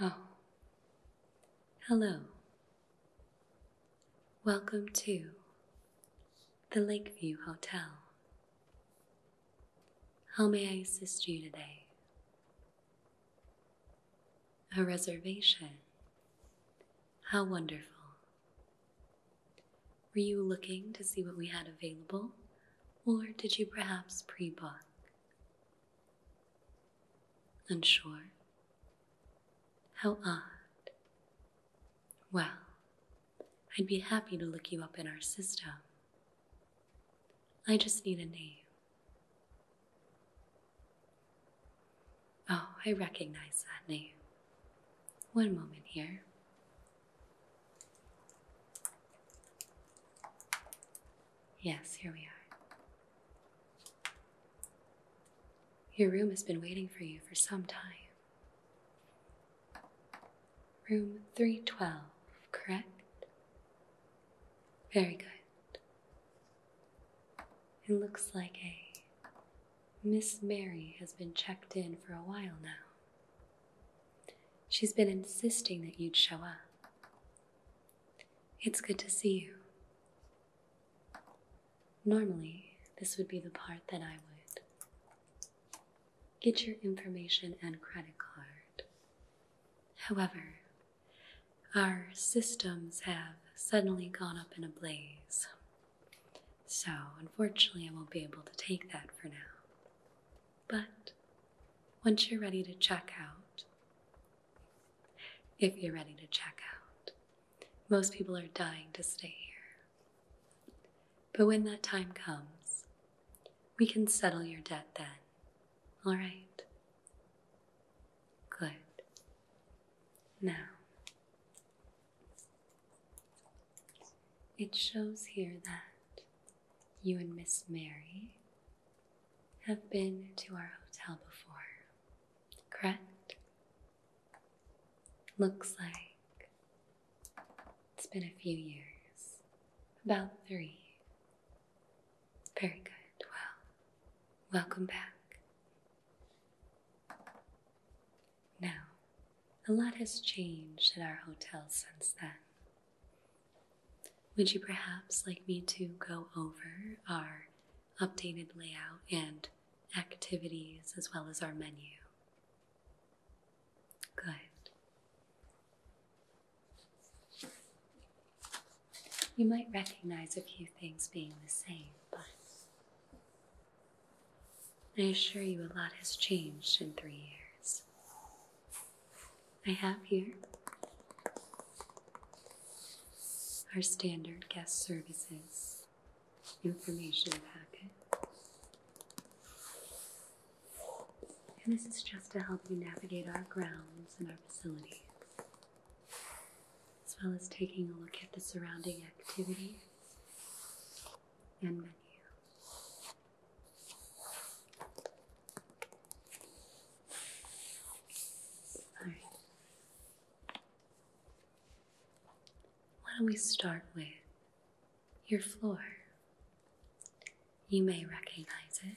Oh, hello. Welcome to the Lakeview Hotel. How may I assist you today? A reservation. How wonderful. Were you looking to see what we had available, or did you perhaps pre book? Unsure? How odd. Well, I'd be happy to look you up in our system. I just need a name. Oh, I recognize that name. One moment here. Yes, here we are. Your room has been waiting for you for some time. Room 312, correct? Very good. It looks like a Miss Mary has been checked in for a while now. She's been insisting that you'd show up. It's good to see you. Normally, this would be the part that I would get your information and credit card. However, our systems have suddenly gone up in a blaze. So, unfortunately, I won't be able to take that for now. But once you're ready to check out, if you're ready to check out, most people are dying to stay here. But when that time comes, we can settle your debt then. All right? Good. Now, it shows here that you and Miss Mary have been to our hotel before, correct? Looks like it's been a few years, about three. Very good. Well, welcome back. Now, a lot has changed at our hotel since then. Would you perhaps like me to go over our updated layout and activities as well as our menu? Good. You might recognize a few things being the same, but I assure you a lot has changed in three years. I have here our standard guest services information packet. And this is just to help you navigate our grounds and our facilities, as well as taking a look at the surrounding activities and menu. All right. Why don't we start with your floor? You may recognize it.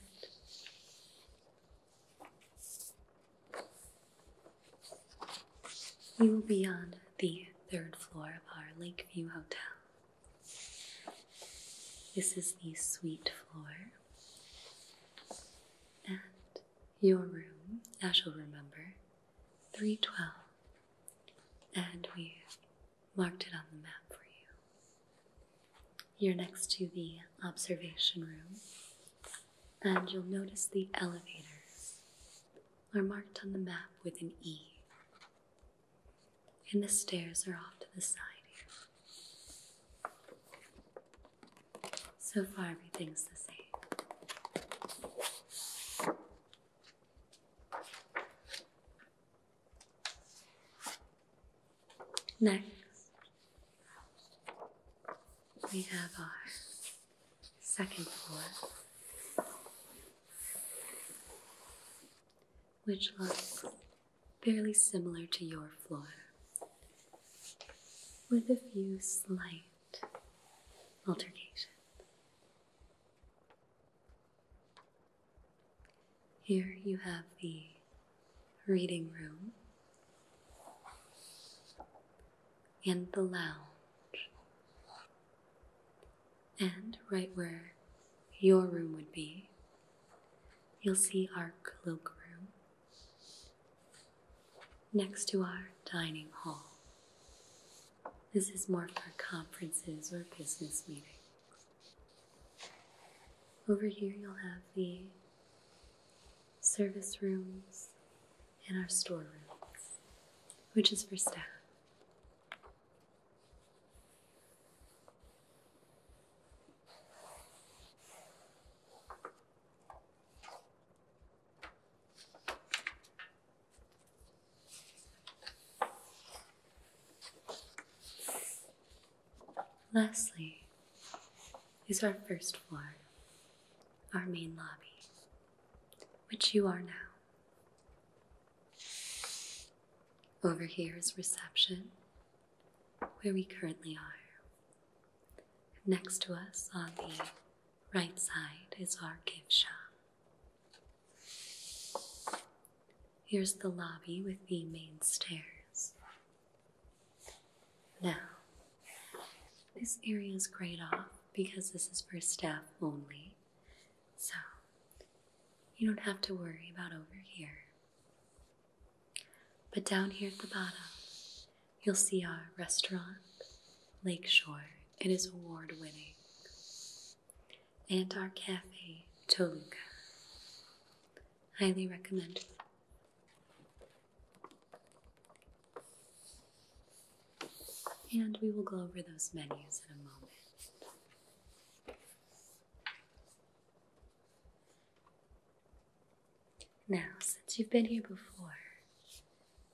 You will be on the third floor of our Lakeview Hotel. This is the suite floor. And your room, as you'll remember, 312, and we've marked it on the map for you. You're next to the observation room, and you'll notice the elevators are marked on the map with an E, and the stairs are off to the side here. So far, everything's the same. Next, we have our second floor, which looks fairly similar to your floor, with a few slight alterations. Here you have the reading room and the lounge, and right where your room would be, you'll see our cloak room next to our dining hall. This is more for conferences or business meetings. Over here, you'll have the service rooms and our storerooms, which is for staff. Lastly is our first floor, our main lobby, which you are now. Over here is reception, where we currently are. Next to us on the right side is our gift shop. Here's the lobby with the main stairs. Now, this area is grayed off because this is for staff only, so you don't have to worry about over here. But down here at the bottom you'll see our restaurant, Lakeshore. It is award winning. And our cafe, Toluca. Highly recommended. And we will go over those menus in a moment. Now, since you've been here before,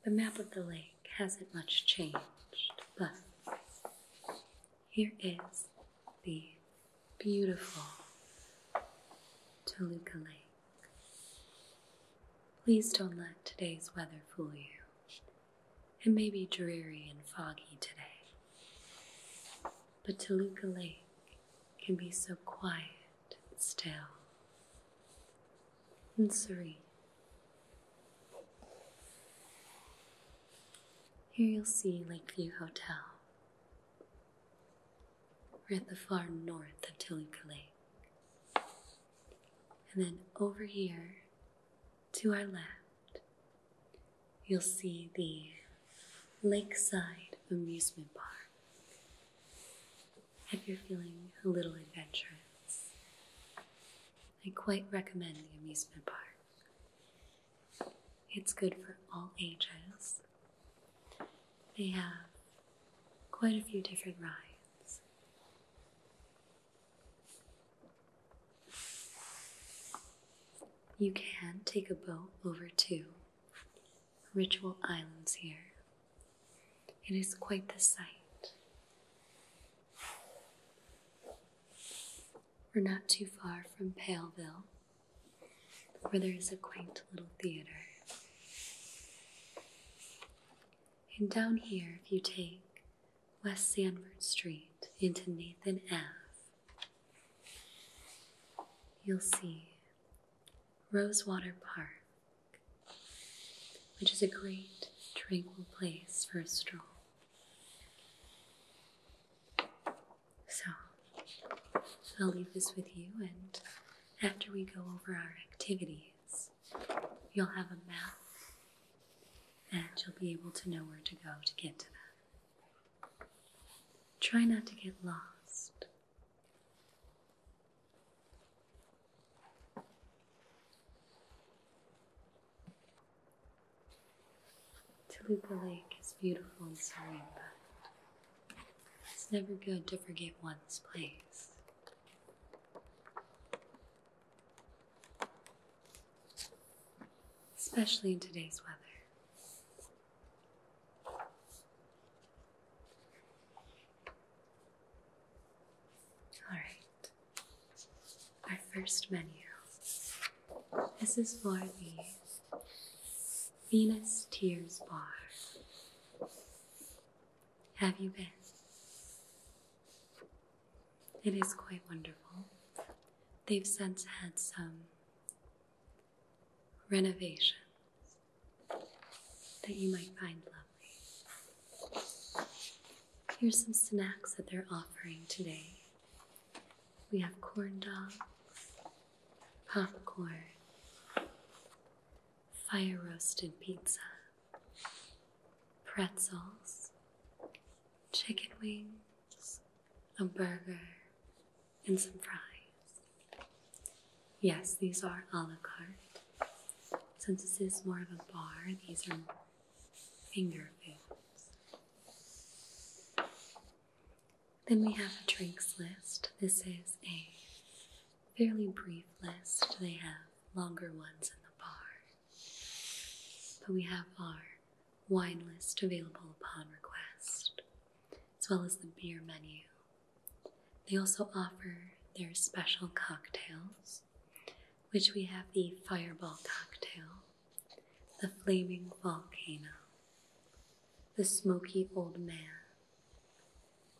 the map of the lake hasn't much changed, but here is the beautiful Toluca Lake. Please don't let today's weather fool you. It may be dreary and foggy today, but Toluca Lake can be so quiet and still and serene. Here you'll see Lakeview Hotel. We're at the far north of Toluca Lake. And then over here, to our left, you'll see the Lakeside Amusement Park if you're feeling a little adventurous. I quite recommend the amusement park. It's good for all ages. They have quite a few different rides. You can take a boat over to Ritual Islands here. It is quite the sight. We're not too far from Paleville, where there is a quaint little theater. And down here, if you take West Sanford Street into Nathan Ave, you'll see Rosewater Park which is a great tranquil place for a stroll. So, I'll leave this with you, and after we go over our activities, you'll have a map and you'll be able to know where to go to get to them. Try not to get lost. Toluca Lake is beautiful and serene, but it's never good to forget one's place. Especially in today's weather. All right, our first menu. This is for the Venus Tears Bar. Have you been? It is quite wonderful. They've since had some renovations that you might find lovely. Here's some snacks that they're offering today. We have corn dogs, popcorn, fire roasted pizza, pretzels, chicken wings, a burger, and some fries. Yes, these are a la carte. Since this is more of a bar, these are finger foods. Then we have a drinks list. This is a fairly brief list. They have longer ones in the bar. But we have our wine list available upon request, as well as the beer menu they also offer their special cocktails, which we have the Fireball Cocktail, the Flaming Volcano, the Smoky Old Man,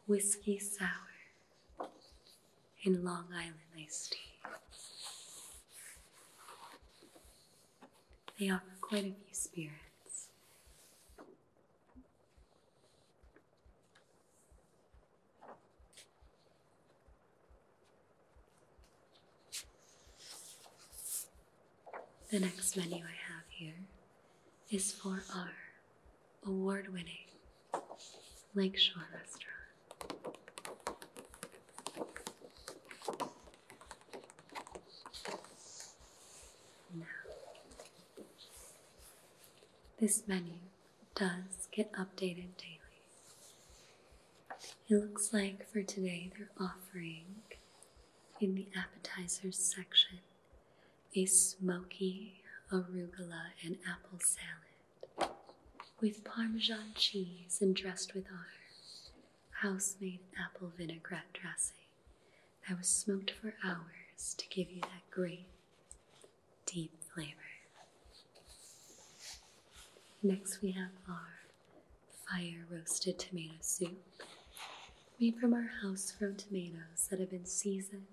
Whiskey Sour, and Long Island Iced Tea. They offer quite a few spirits. The next menu I have here is for our award winning Lakeshore restaurant. Now, this menu does get updated daily. It looks like for today they're offering in the appetizers section a smoky arugula and apple salad with parmesan cheese and dressed with our house-made apple vinaigrette dressing that was smoked for hours to give you that great deep flavor. Next, we have our fire roasted tomato soup made from our house grown tomatoes that have been seasoned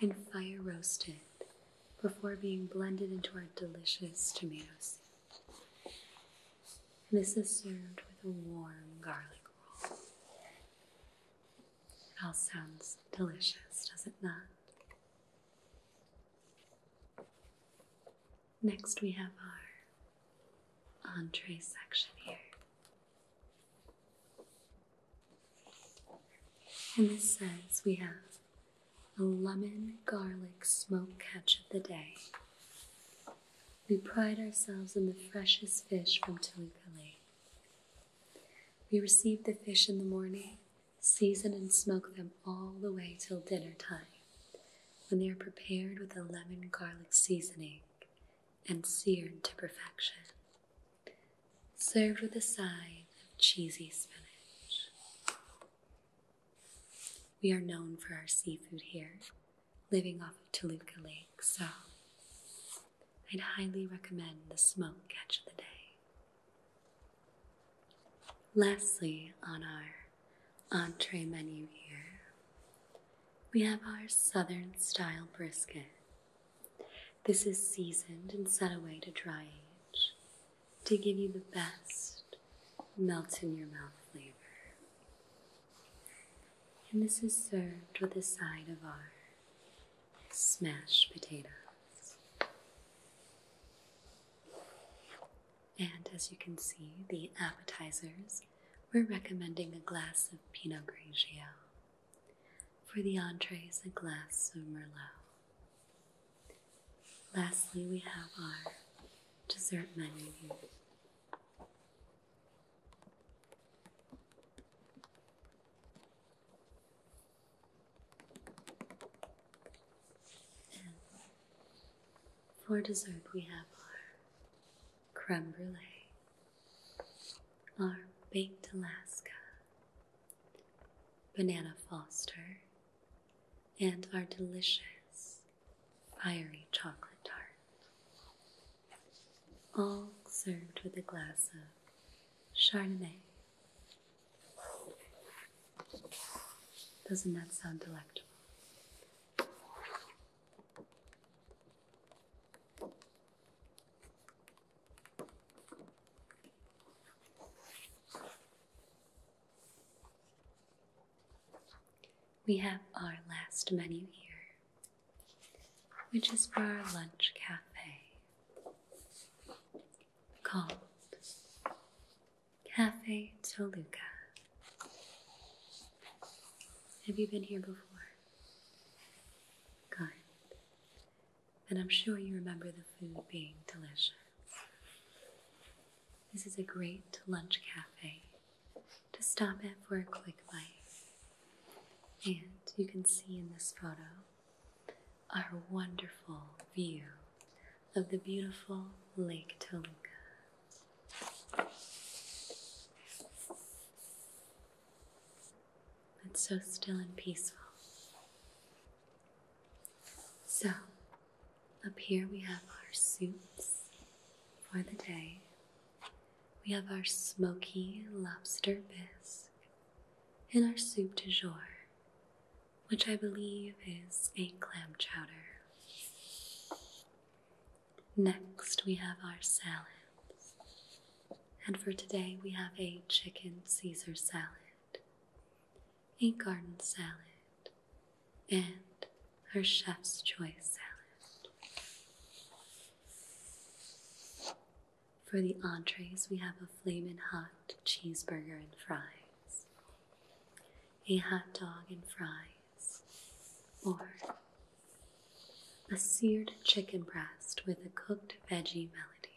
and fire roasted before being blended into our delicious tomato soup. this is served with a warm garlic roll. It all sounds delicious, does it not? Next, we have our entree section here. And this says we have a lemon garlic smoked catch of the day. We pride ourselves in the freshest fish from Toluca Lake. We receive the fish in the morning, season and smoke them all the way till dinner time, when they are prepared with a lemon garlic seasoning and seared to perfection. Served with a side of cheesy spinach. We are known for our seafood here, living off of Toluca Lake, so I'd highly recommend the smoke catch of the day. Lastly, on our entree menu here, we have our southern style brisket. This is seasoned and set away to dry age to give you the best melt in your mouth flavor. And this is served with a side of our smashed potatoes. And as you can see, the appetizers, we're recommending a glass of Pinot Grigio. For the entrees, a glass of Merlot. Lastly, we have our dessert menu. For dessert, we have our creme brulee, our baked Alaska, banana foster, and our delicious fiery chocolate tart all served with a glass of Chardonnay. Doesn't that sound delectable? We have our last menu here which is for our Lunch Cafe, called Cafe Toluca. Have you been here before? Good. And I'm sure you remember the food being delicious. This is a great lunch cafe to stop at for a quick bite. And you can see in this photo our wonderful view of the beautiful Lake Toluca. It's so still and peaceful. So, up here we have our suits for the day. We have our smoky lobster bisque and our soup du jour, which I believe is a clam chowder. Next, we have our salads. And for today, we have a chicken Caesar salad, a garden salad, and our chef's choice salad. For the entrees, we have a flamin' hot cheeseburger and fries, a hot dog and fries, or a seared chicken breast with a cooked veggie melody.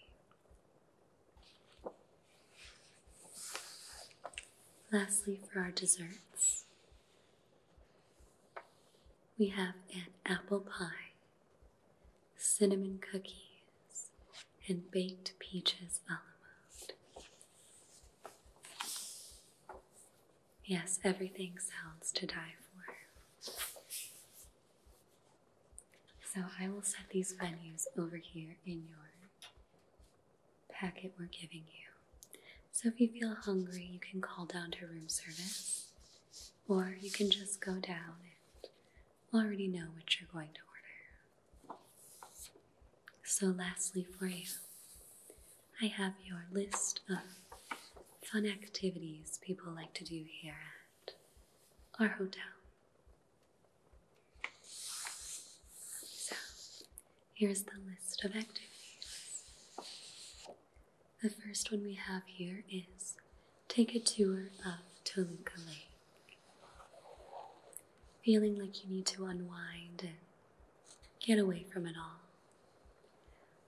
Lastly, for our desserts, we have an apple pie cinnamon cookies, and baked peaches a mode. Yes, everything sounds to die for. So I will set these venues over here in your packet we're giving you. So if you feel hungry, you can call down to room service or you can just go down and already know what you're going to order. So, lastly, for you, I have your list of fun activities people like to do here at our hotel. So, here's the list of activities. The first one we have here is Take a Tour of Toluca Feeling like you need to unwind and get away from it all.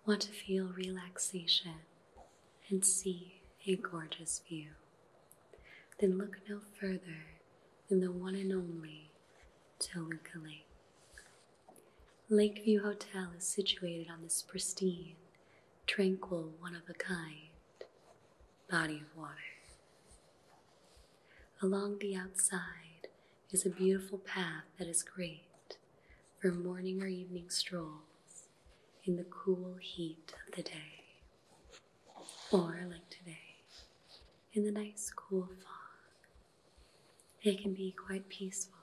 Want to feel relaxation and see a gorgeous view. Then look no further than the one and only Toluca Lakeview Hotel is situated on this pristine, tranquil, one of a kind body of water. Along the outside is a beautiful path that is great for morning or evening strolls in the cool heat of the day, or like today, in the nice cool fog. It can be quite peaceful.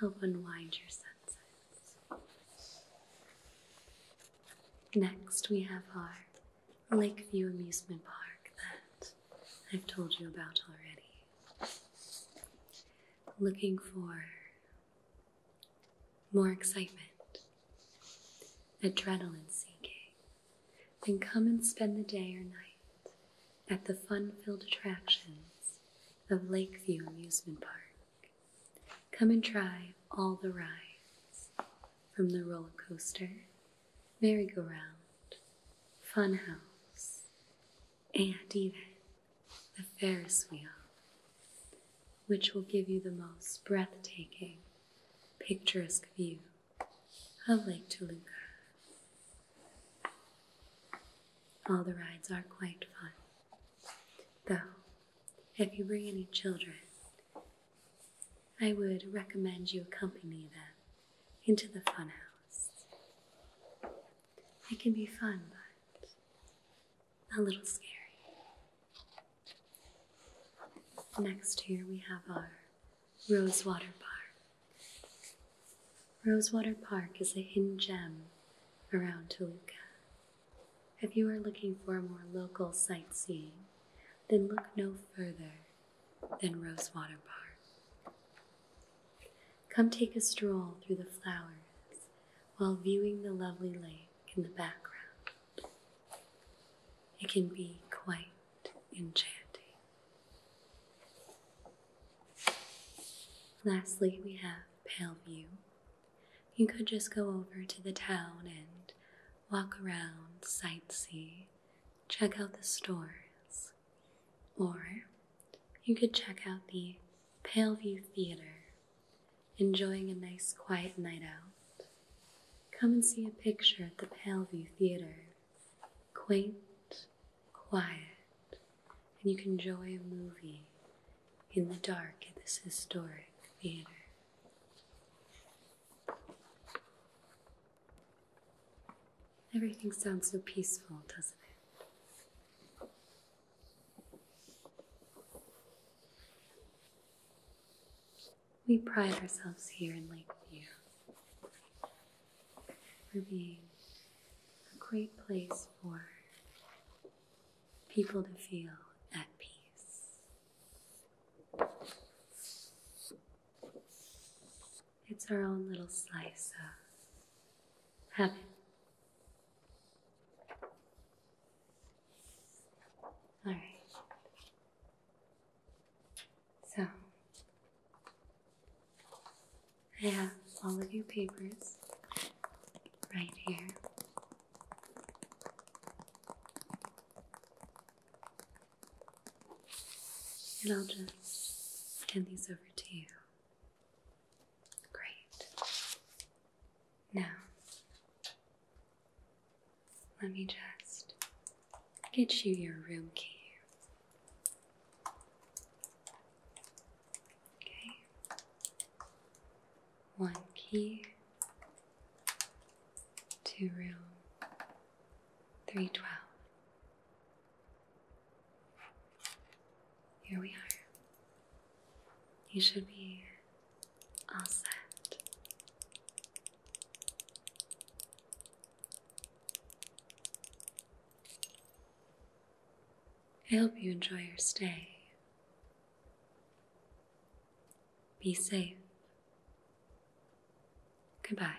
Help unwind your senses. Next, we have our Lakeview Amusement Park that I've told you about already. Looking for more excitement, adrenaline seeking, then come and spend the day or night at the fun filled attractions of Lakeview Amusement Park. Come and try all the rides from the roller coaster, merry-go-round, funhouse, and even the Ferris wheel, which will give you the most breathtaking, picturesque view of Lake Toluca. All the rides are quite fun. Though, if you bring any children, I would recommend you accompany them into the funhouse. It can be fun, but a little scary. Next here we have our Rosewater Bar. Rosewater Park is a hidden gem around Toluca. If you are looking for more local sightseeing, then look no further than Rosewater Park. Come take a stroll through the flowers while viewing the lovely lake in the background. It can be quite enchanting. Lastly, we have Paleview. You could just go over to the town and walk around, sightsee, check out the stores, or you could check out the Paleview Theater, enjoying a nice quiet night out. Come and see a picture at the Paleview Theater quaint, quiet, and you can enjoy a movie in the dark at this historic theater. Everything sounds so peaceful, doesn't it? We pride ourselves here in Lakeview for being a great place for people to feel at peace. It's our own little slice of heaven. All right. So, I have all of your papers right here. And I'll just hand these over to you. Great. Now, let me just get you your room key. Okay. One key, two room, three twelve. Here we are. You should be all set. I hope you enjoy your stay. Be safe. Goodbye.